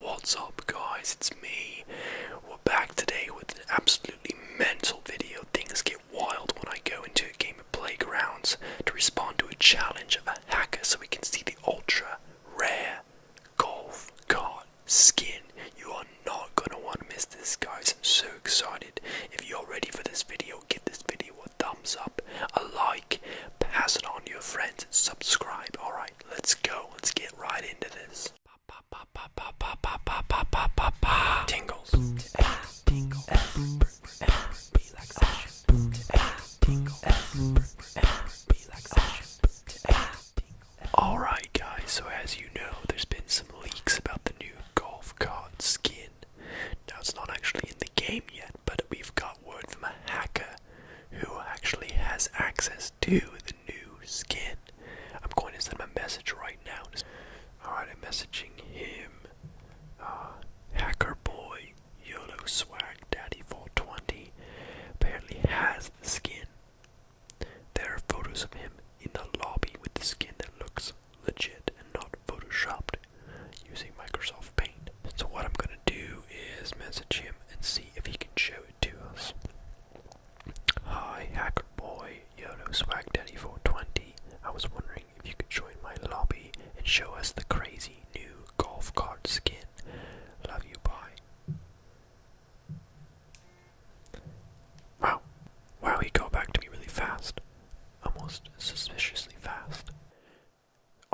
What's up guys, it's me. We're back today with an absolutely mental video. Things get wild when I go into a game of Playgrounds to respond to a challenge of a hacker so we can see the ultra rare golf cart skin. You are not gonna want to miss this guys, I'm so excited. If you're ready for this video, give this video a thumbs up, a like, pass it on to your friends, and subscribe. Alright, let's go. Let's get right into this. Tingles. Tingle. Alright, guys, so as you know, there's been some leaks about the new golf cart skin in. Now, it's not actually in the game yet, but we've got word from a hacker who actually has access to the new skin. I'm going to send my message right now. Alright, I'm messaging him. Uh, hacker boy, YOLO swag, daddy 420 apparently has the skin. There are photos of him in the lobby with the skin that looks legit and not photoshopped using Microsoft Paint. So what I'm gonna do is message him and see if he can show it to us. Hi, Hacker Boy, YOLO Swag Daddy 420. I was wondering if you could join my lobby and show us the crazy new golf cart skin. Love you, bye. Wow. Wow, he got back to me really fast almost suspiciously fast.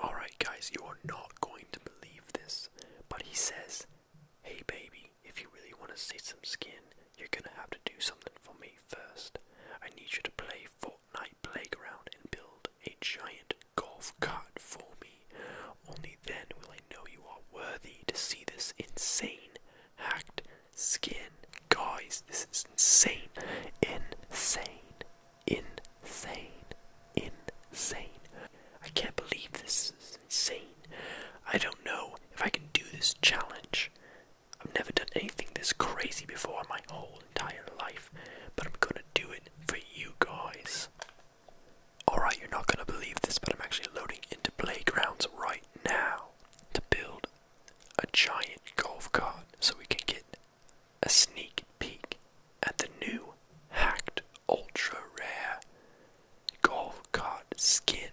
Alright, guys, you are not going to believe this, but he says, Hey, baby, if you really want to see some skin, you're gonna have to do something for me first. I need you to play Fortnite Playground and build a giant golf cart for me. Only then will I know you are worthy to see this insane, hacked, skin. Guys, this is insane. Insane. Insane. Insane. I can't believe this is insane. I don't know if I can do this challenge. I've never done anything this crazy before my whole entire life, but I'm gonna do it for you guys. Alright, you're not gonna believe this, but I'm actually loading into Playgrounds right now to build a giant golf cart so we can get a sneak peek at the new hacked ultra rare golf cart skin.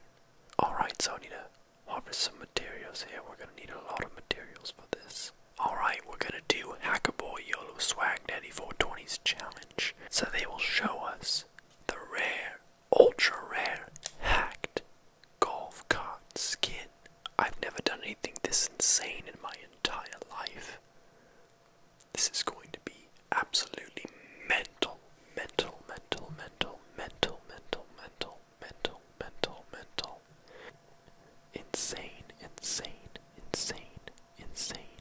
Alright, so I need to harvest some materials here. We're gonna need a lot of materials for this. Alright, we're gonna do Hacker Boy YOLO Swag Daddy 420's challenge. So they will show us the rare ultra rare hacked golf cart skin. I've never done anything this insane in my entire life. This is going to be absolutely mental, mental, mental, mental, mental, mental, mental, mental, mental, mental. Insane, insane, insane, insane,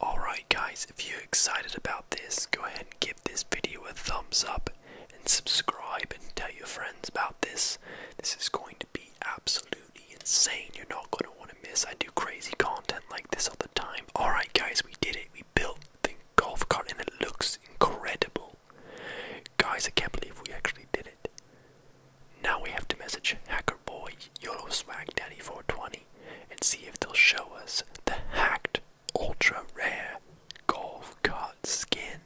Alright guys, if you're excited about this, go ahead and give this video a thumbs up and subscribe and tell your friends about this. This is going to be absolutely insane. You're not going to want to miss. I do crazy content like this all the time. Alright guys, we did it. We built the golf cart and it looks incredible. Guys, I can't believe we actually did it. Now we have to message Hacker Boy YOLO Swag Daddy 420 and see if they'll show us the hacked ultra rare golf cart skin.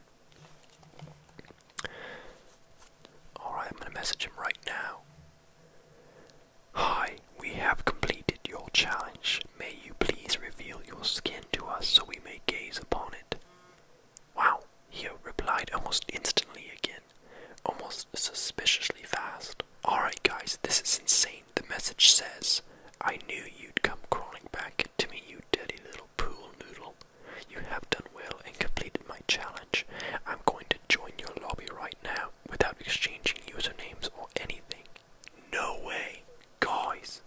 Alright, I'm gonna message him right now. Hi, we have completed your challenge. May you please reveal your skin to us so we may gaze upon it. Wow, he replied almost instantly again, almost suspiciously fast. Alright, guys, this is insane. The message says, I knew you'd come crawling back to me, you dirty little pool noodle. You have done well and completed my challenge. I'm going to join your lobby right now without exchanging usernames or anything. No way. Guys,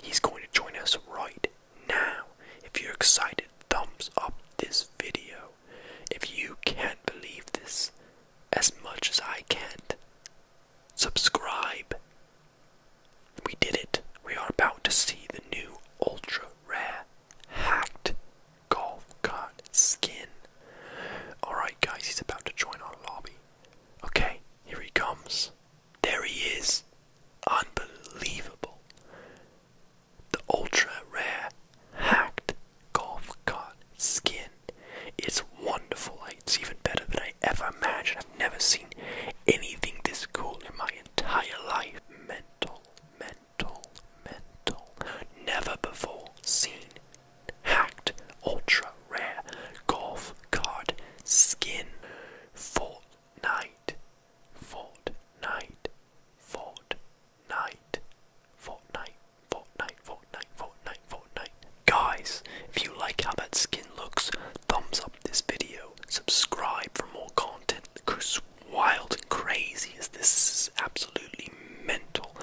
he's going to join us right now, if you're excited, thumbs up this video. If you can't believe this as much as I can't, subscribe. We did it. We are about to see the new ultra rare hacked golf cut skin. Alright, guys, he's about to join our lobby. Okay, here he comes. There he is. Unbelievable. The ultra rare hacked golf cart skin is wonderful. it's even better than I ever imagined. I've never seen anything this cool in my entire life. Mental, mental, mental. Never before seen hacked ultra rare golf card skin. for night. Fortnite, Fortnite, Fortnite, Fortnite, Fortnite, Fortnite, Fortnite. Guys, if you like how that skin looks, thumbs up this video, subscribe for more content. Cause wild and crazy as this is absolutely mental.